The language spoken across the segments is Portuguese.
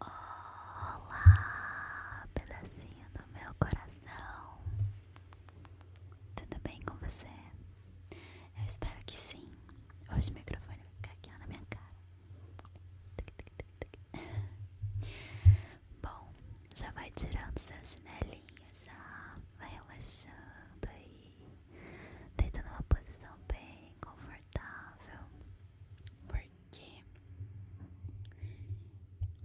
Olá, pedacinho do meu coração. Tudo bem com você? Eu espero que sim. Hoje o microfone vai ficar aqui na minha cara. Bom, já vai tirando seu chinelinho, já vai relaxando aí, deita numa posição bem confortável, porque porque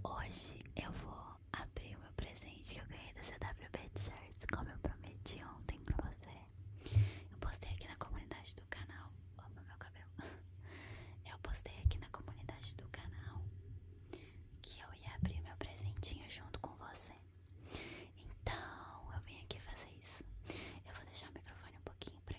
hoje eu vou abrir o meu presente que eu ganhei da CWB Shirts, como eu prometi ontem pra você. Eu postei aqui na comunidade do canal. Opa, meu cabelo. Eu postei aqui na comunidade do canal que eu ia abrir meu presentinho junto com você. Então eu vim aqui fazer isso. Eu vou deixar o microfone um pouquinho pra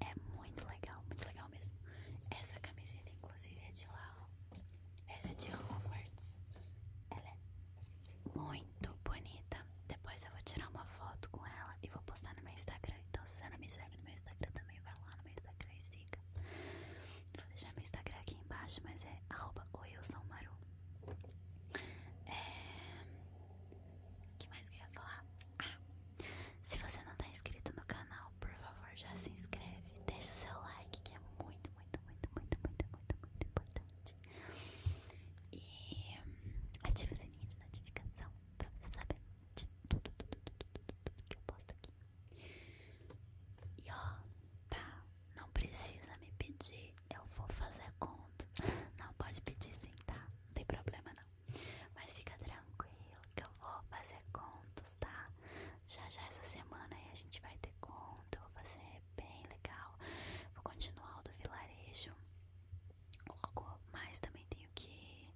é muito legal, muito legal mesmo. Essa camiseta, inclusive, é de lá. Essa é de Hogwarts. Ela é muito bonita. Depois eu vou tirar uma foto com ela e vou postar no meu Instagram. Então, se você não me segue no meu Instagram também, vai lá no meu Instagram e siga. Vou deixar meu Instagram aqui embaixo, mas é arroba O é, que mais que eu ia falar? Ah, se você não tá inscrito no canal, por favor, já se inscreve. Deixa o seu like, que é muito, muito, muito, muito, muito, muito, muito importante. E ativa o sininho de notificação pra você saber de tudo, tudo, tudo, tudo, tudo que eu posto aqui. E ó, tá, não precisa me pedir, eu vou fazer conta. Não, pode pedir sim, tá? Não tem problema não. Mas fica tranquilo que eu vou fazer contos, tá? Já já essa semana aí a gente vai ter conto, eu vou fazer bem legal. Vou continuar o do vilarejo. mas também tenho que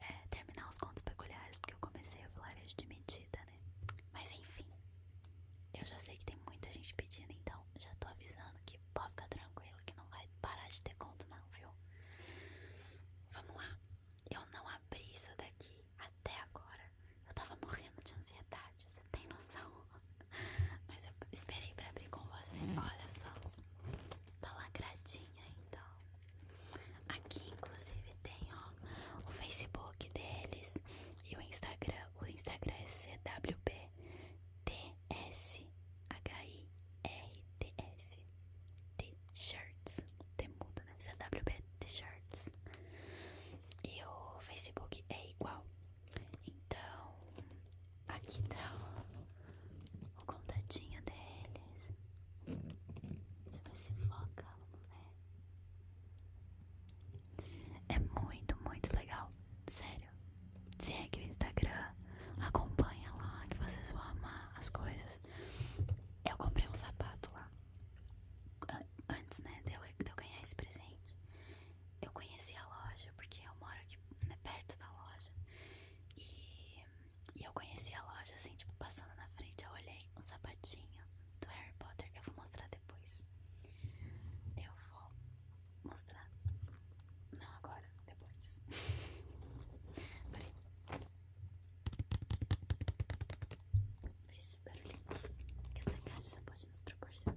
é, terminar os contos peculiares, porque eu comecei o vilarejo de medida, né? Mas enfim, eu já sei que tem muita gente pedindo, então já tô avisando que pode ficar tranquilo que não vai parar de ter conto, não viu? Vamos lá. Eu não abri isso daqui até agora. Eu tava morrendo de ansiedade, você tem noção? Mas eu esperei pra abrir com você. Hum. Olha só. Tá lacradinha então. Aqui inclusive tem, o Facebook deles e o Instagram. O Instagram é CWBTS H-I-R-T-S T-shirts Temudo, né? c w CWB T-shirts E o Facebook é igual Então Aqui tá o, o contatinho deles Deixa eu ver se foca, vamos é. ver é muito, muito legal. Sério. Segue é o Instagram, Acompanha lá que vocês vão amar as coisas. Eu comprei um sapato lá. Antes, né, de eu, ganhar esse presente, eu conheci a loja, porque eu moro aqui né, perto da loja. E, e eu conheci a loja, assim, tipo, passando na frente, eu olhei um sapatinho do Harry Potter. Eu vou mostrar depois. Eu vou mostrar. Não agora depois. mas Fez esses barulhinhos assim, que essa caixa pode nos proporcionar.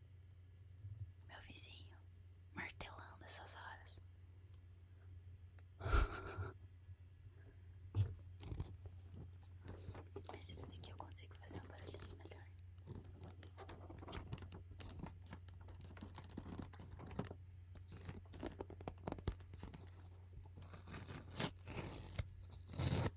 Meu vizinho martelando essas horas. Mas esse daqui eu consigo fazer um barulhinho melhor.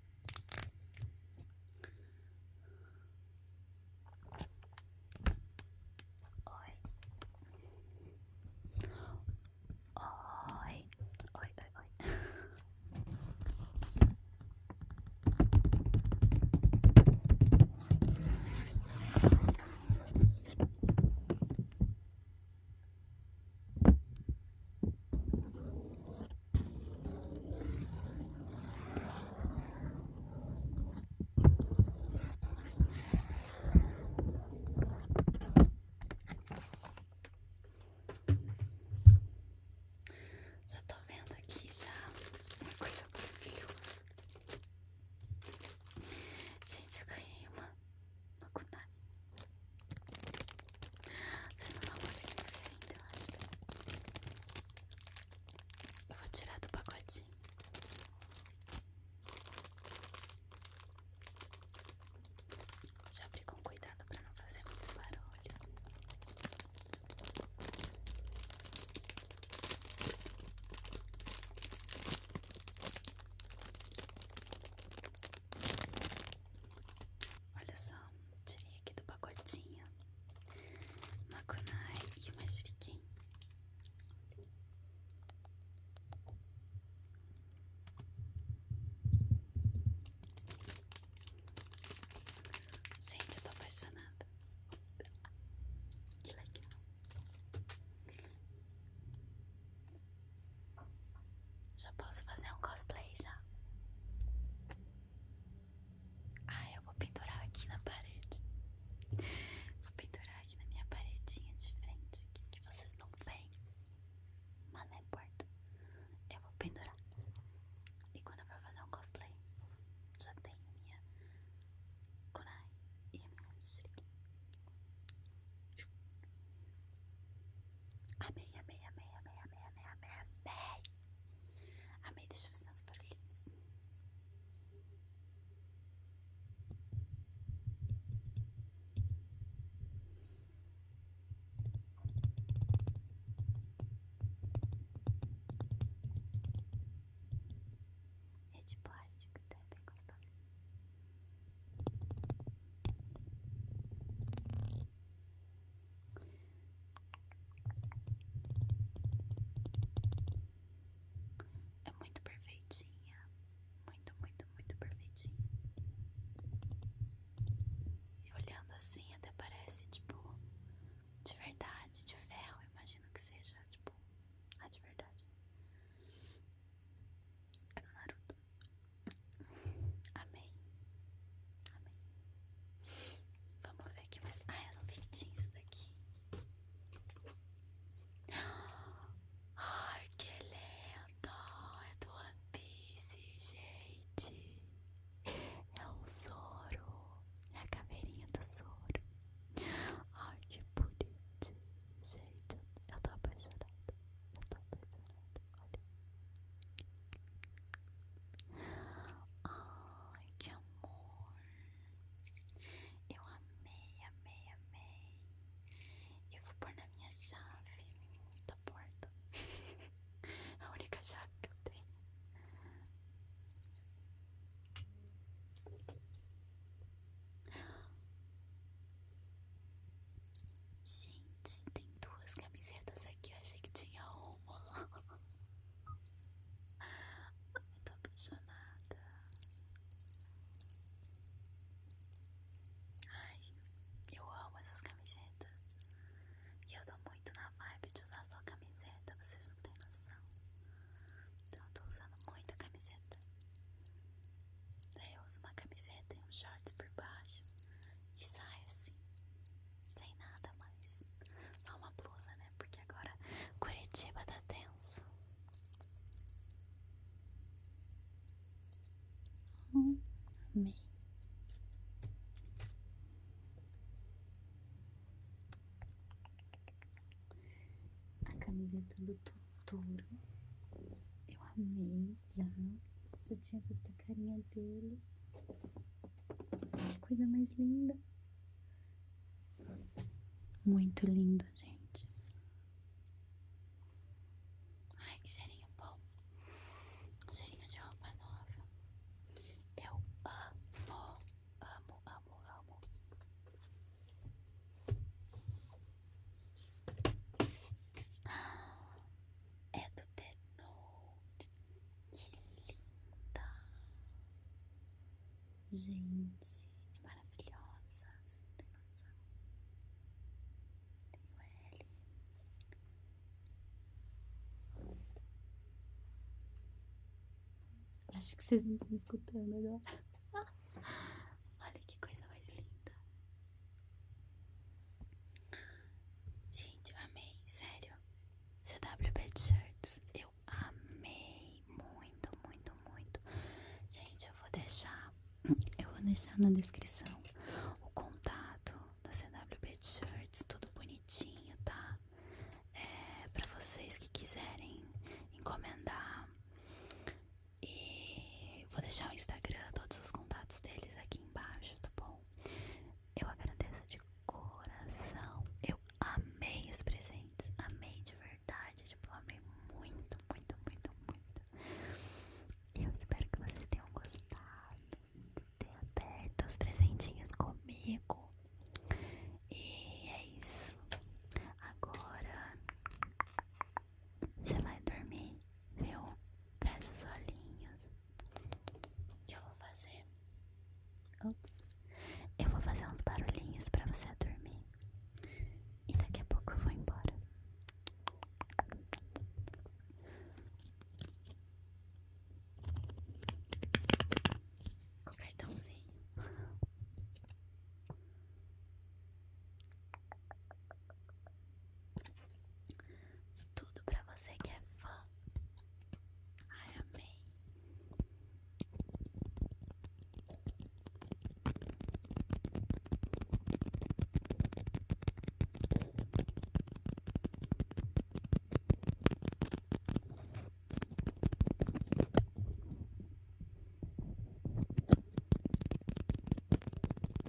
Oi. Oi. Oi, oi, oi. Já tô vendo aqui já uma coisa maravilhosa. Gente, eu ganhei uma, uma kunai. Vocês não estão conseguindo ver ainda, eu Eu vou tirar do pacotinho. Já abri com cuidado pra não fazer muito barulho. Olha só, tirei aqui do pacotinho uma kunai e uma shuriken. Gente, eu tô apaixonada. Que legal. Já posso fazer um cosplay já. Ah, eu vou pendurar aqui na parede. Vou pendurar aqui na minha paredinha de frente, que vocês não veem. Mas não importa. Eu vou pendurar. E quando eu for fazer um cosplay, já tenho minha kunai e a minha shiriki. Amei, amei, amei, amei, amei, amei, amei, amei. Amei, deixa eu fazer uns barulhinhos. É de plástico, tá? É bem gostoso. É muito perfeitinha, muito, muito, muito perfeitinha. E olhando assim, até parece tipo de verdade, de ferro. imagino que seja tipo a ah, de verdade. É do Naruto. Amém. Vamos ver aqui mais. Ah, eu não vendi isso daqui. Ai, que lindo! É do One Piece, gente. É o soro. É a caveirinha do soro. Ai, que bonito. Gente, eu tô apaixonada. Eu tô apaixonada olha. Ai, que amor. Eu amei, amei, amei. Eu vou pôr na minha chave da tá porta. A única chave que eu tenho. Gente, tem duas camisetas aqui. Eu achei que tinha uma. Ai, tô apaixonada. Ai, eu amo essas camisetas. E eu tô muito na vibe de usar só camiseta. Vocês não têm noção. Então, eu tô usando muita camiseta. eu uso uma camiseta e um short por baixo e sai assim, sem nada mais. Só uma blusa, né? Porque agora Curitiba tá tenso. Hum, A camiseta do Totoro. Eu amei já. Já tinha visto a carinha dele. Que coisa mais linda. Muito lindo, gente. Ai, que cheirinho bom. Cheirinho de roupa nova. Eu amo, amo, amo, amo. É do The Note. Que linda. Gente, é maravilhosa. Você não tem noção. Tem o L. Acho que vocês não estão me escutando agora. Olha que coisa mais linda. Gente, amei, sério. CWB Shirts, eu amei muito, muito, muito. Gente, eu vou deixar, eu vou deixar na descrição o contato da CWB Shirts, tudo bonitinho, tá? É, pra vocês que quiserem encomendar e vou deixar o Instagram, todos os contatos deles aqui embaixo, tá bom? Eu agradeço de coração. Eu amei os presentes. Amei de verdade. Tipo, amei muito, muito, muito, muito. Eu espero que vocês tenham gostado tenham aberto os presentinhos comigo. E é isso. Agora você vai dormir, viu? Fecha os olhinhos. que eu vou fazer? Ups. Eu vou fazer uns barulhinhos pra você dormir. E daqui a pouco eu vou embora. Com o cartãozinho. Tudo pra você que é fã. Ai, amei.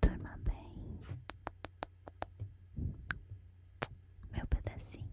Toma bem, meu pedacinho.